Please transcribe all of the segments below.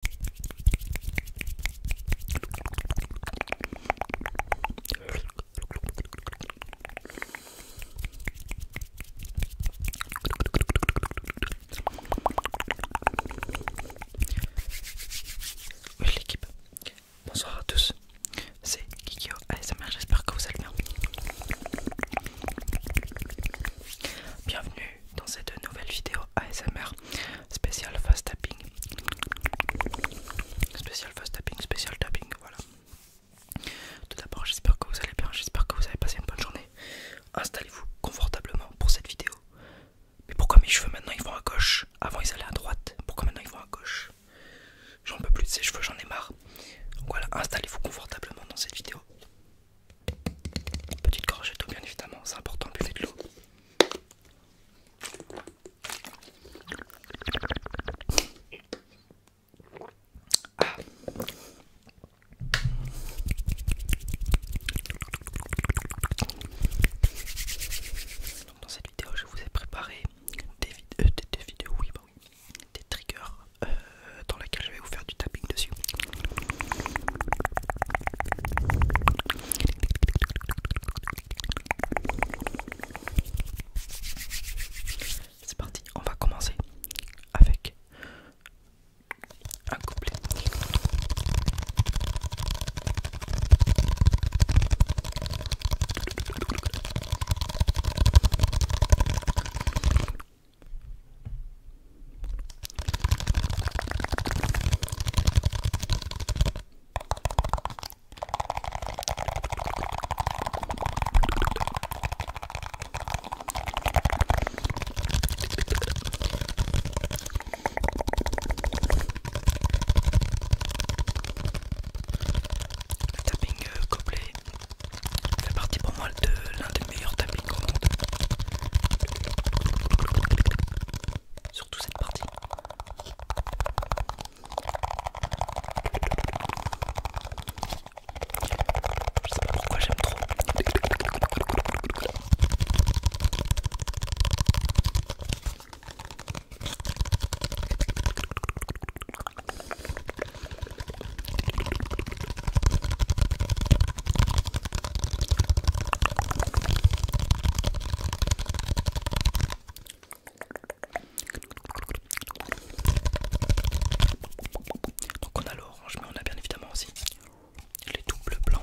Euh, l'équipe, bonsoir à tous, c'est Kikyo ASMR, j'espère que vous allez bien. Bienvenue dans cette nouvelle vidéo ASMR spécial fast tapping. Spécial fast tapping, spécial tapping, voilà. Tout d'abord, j'espère que vous allez bien, j'espère que vous avez passé une bonne journée. Installez-vous confortablement pour cette vidéo. Mais pourquoi mes cheveux maintenant ils vont à gauche Avant ils allaient à droite, pourquoi maintenant ils vont à gauche J'en peux plus de ces cheveux, j'en ai marre. Donc voilà, installez-vous confortablement dans cette vidéo. Petite crochet tout bien évidemment, c'est important, buffer de l'eau. Ah. dans cette vidéo, je vous ai préparé des, euh, vidéos, bah oui, des triggers euh, dans lesquels je vais vous faire du tapping dessus. C'est parti, on va commencer avec un couplet. Le tapping euh, complet fait partie pour moi de l'un des meilleurs tappings Surtout cette partie. Je sais pas pourquoi j'aime trop. Donc on a l'orange, mais on a bien évidemment aussi les doubles blancs.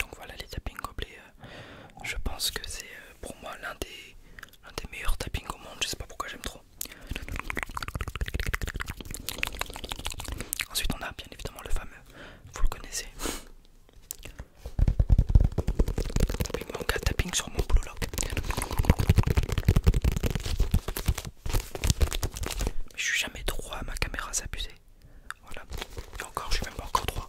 Donc voilà les tapping gobelets, euh, je pense que c'est euh, pour moi l'un des, des meilleurs tappings au monde, je sais pas pourquoi j'aime trop. Ensuite on a bien évidemment le fameux, vous le connaissez. tapping sur mon blue Mais je suis jamais droit, ma caméra s'abuser. Voilà. encore, je suis même pas encore droit.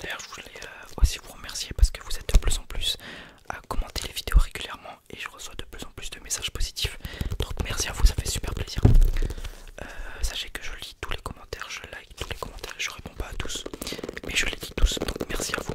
D'ailleurs, je voulais euh, aussi vous remercier parce que vous êtes de plus en plus à commenter les vidéos régulièrement et je reçois de plus en plus de messages positifs. Donc merci à vous, ça fait super plaisir. Euh, sachez que je lis tous les commentaires, je like tous les commentaires, je réponds pas à tous, mais je les lis tous. Donc merci à vous.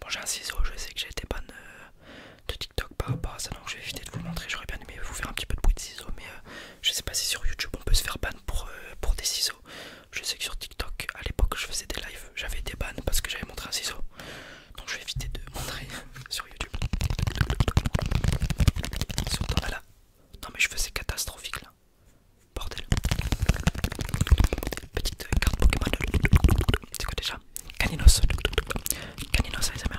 Bon, j'ai un ciseau, oh, je sais que j'ai été ban euh, de TikTok par rapport à ça, donc je vais éviter de vous montrer. J'aurais bien aimé vous faire un petit peu de bruit de ciseaux, mais euh, je sais pas si sur YouTube on peut se faire ban pour euh, des ciseaux. Je sais que sur TikTok, à l'époque, je faisais des lives, j'avais des ban parce que j'avais montré un ciseau. Donc je vais éviter de montrer sur YouTube. Surtout ah là. Non mais je faisais catastrophique là. Bordel. Petite euh, carte Pokémon. C'est quoi déjà Caninos. Caninos ASMR.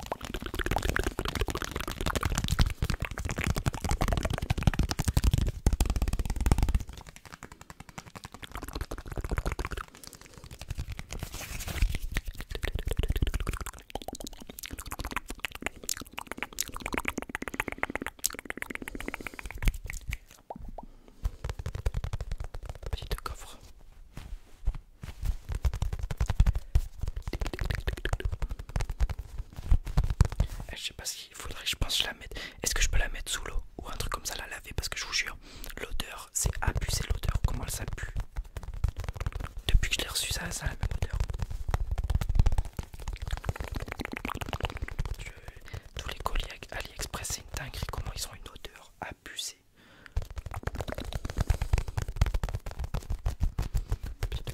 Petit coffre. Eh, je sais pas qu'il faudrait, je pense, que je la mettre. Est-ce que je peux la mettre sous l'eau ou un truc comme ça, la laver Parce que je vous jure, l'odeur, c'est abusé l'odeur. Comment ça pue Depuis que je l'ai reçu, ça, ça la même odeur. Tous les colis AliExpress, c'est une dinguerie. Comment ils ont une odeur abusée Petite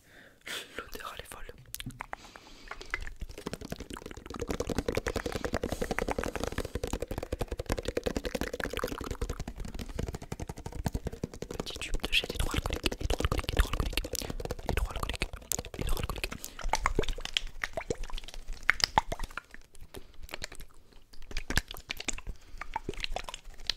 L'odeur elle est folle. Petit tube de gel hydroalcoolique, hydroalcoolique, hydroalcoolique, hydroalcoolique, hydroalcoolique.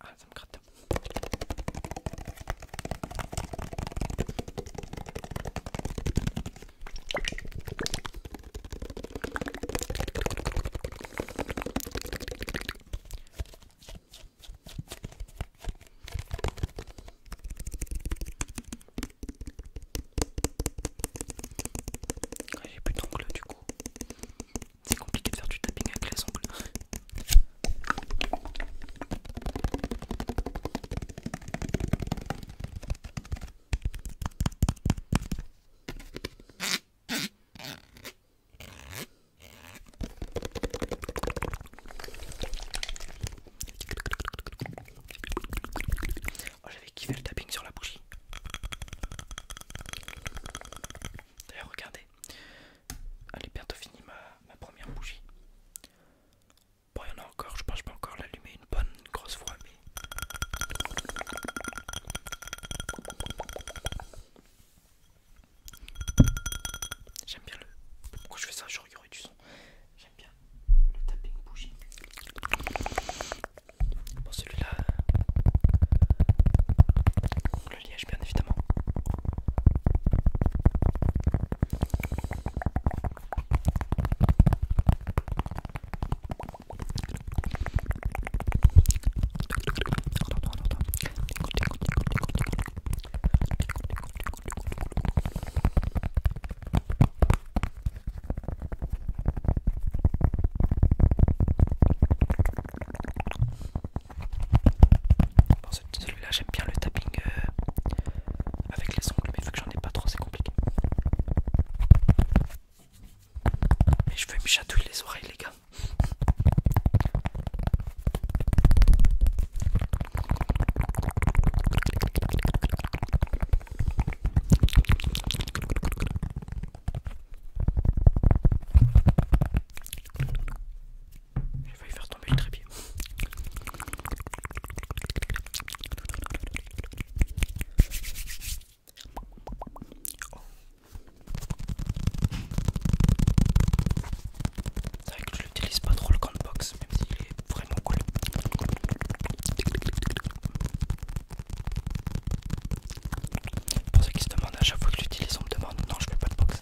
Ah, ça me gratte. J'ai plus d'ongles du coup. C'est compliqué de faire du tapping avec les ongles. Oh, j'avais kiffé le tapping sur la bougie. D'ailleurs, regardez, Allez, bientôt fini ma, première bougie. Bon, il y en a encore, je pense pas encore l'allumer une bonne grosse fois, mais. J'aime bien le. Pourquoi je fais ça Je regarde du son. J'aime bien le tapping bougie. Bon, celui-là. Euh, liège bien évidemment. Bon, celui-là, j'aime bien le tapping euh, avec les ongles, mais faut que j'en ai pas trop, c'est compliqué. Mais je vais me chatouiller les oreilles, les gars va y faire tomber le trépied. C'est vrai que je l'utilise pas trop le Box, même s'il est vraiment cool. Pour ceux qui se demandent à chaque fois que j'utilise, on me demande non, je fais pas de box.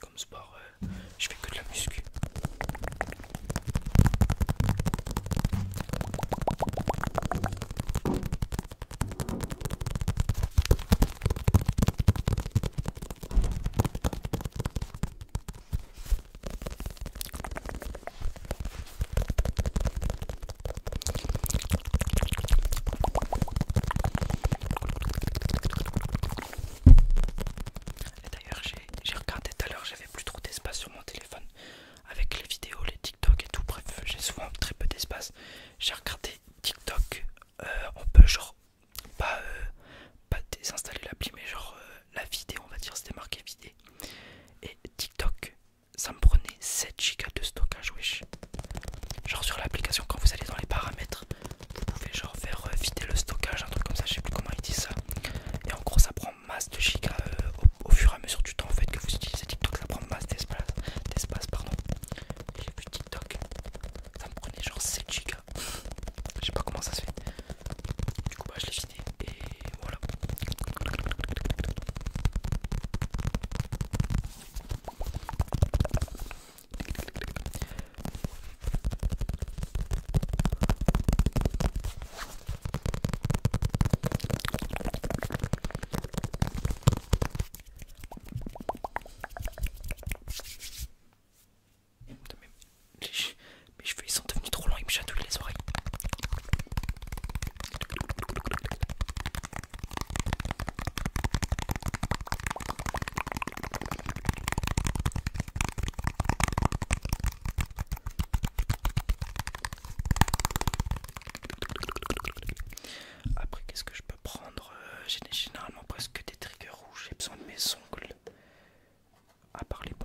Comme sport, euh, je fais que de la muscu. Et d'ailleurs, j'ai regardé tout à l'heure, j'avais plus trop d'espace sur mon téléphone avec les vidéos, les TikTok et tout. Bref, j'ai souvent très peu d'espace. J'ai regardé TikTok. Euh, on peut, genre, euh, pas, désinstaller l'appli, mais genre euh, la vidéo, on va dire, c'était marqué vidéo. Et TikTok, ça me prenait 7 gigas de stockage wesh genre sur l'application quand vous allez dans les paramètres vous pouvez genre faire euh, vider le stockage un truc comme ça je sais plus comment ils disent ça et en gros ça prend masse de giga euh, au, fur et à mesure du temps en fait que vous utilisez TikTok ça prend masse d'espace d'espace pardon j'ai vu TikTok ça me prenait genre 7 gigas je sais pas comment ça se fait du coup bah je l'ai vidé et voilà. mes cheveux ils sont devenus trop longs, ils me chatouillent les oreilles. Après, qu'est-ce que je peux prendre euh, J'ai généralement presque des triggers rouges. J'ai besoin de mes ongles. À part les bouchons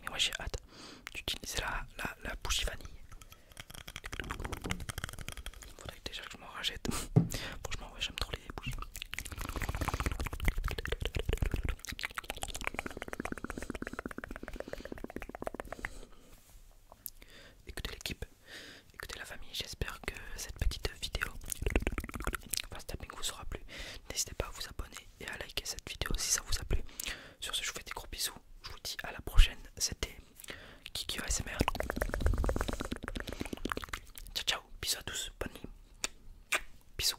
Mais moi j'ai hâte d'utiliser la, la, la bougie vanille. Il Faudrait déjà que je m'en rachète. Franchement ouais j'aime trop les bougies. Écoutez l'équipe, écoutez la famille, j'espère que cette petite vidéo vous aura plu. N'hésitez pas à vous abonner et à liker cette vidéo si ça vous a plu. Sur ce je vous fais des gros bisous, je vous dis à la prochaine, c'était Kiki ASMR. Ciao ciao, bisous à tous, bonne nuit, bisous.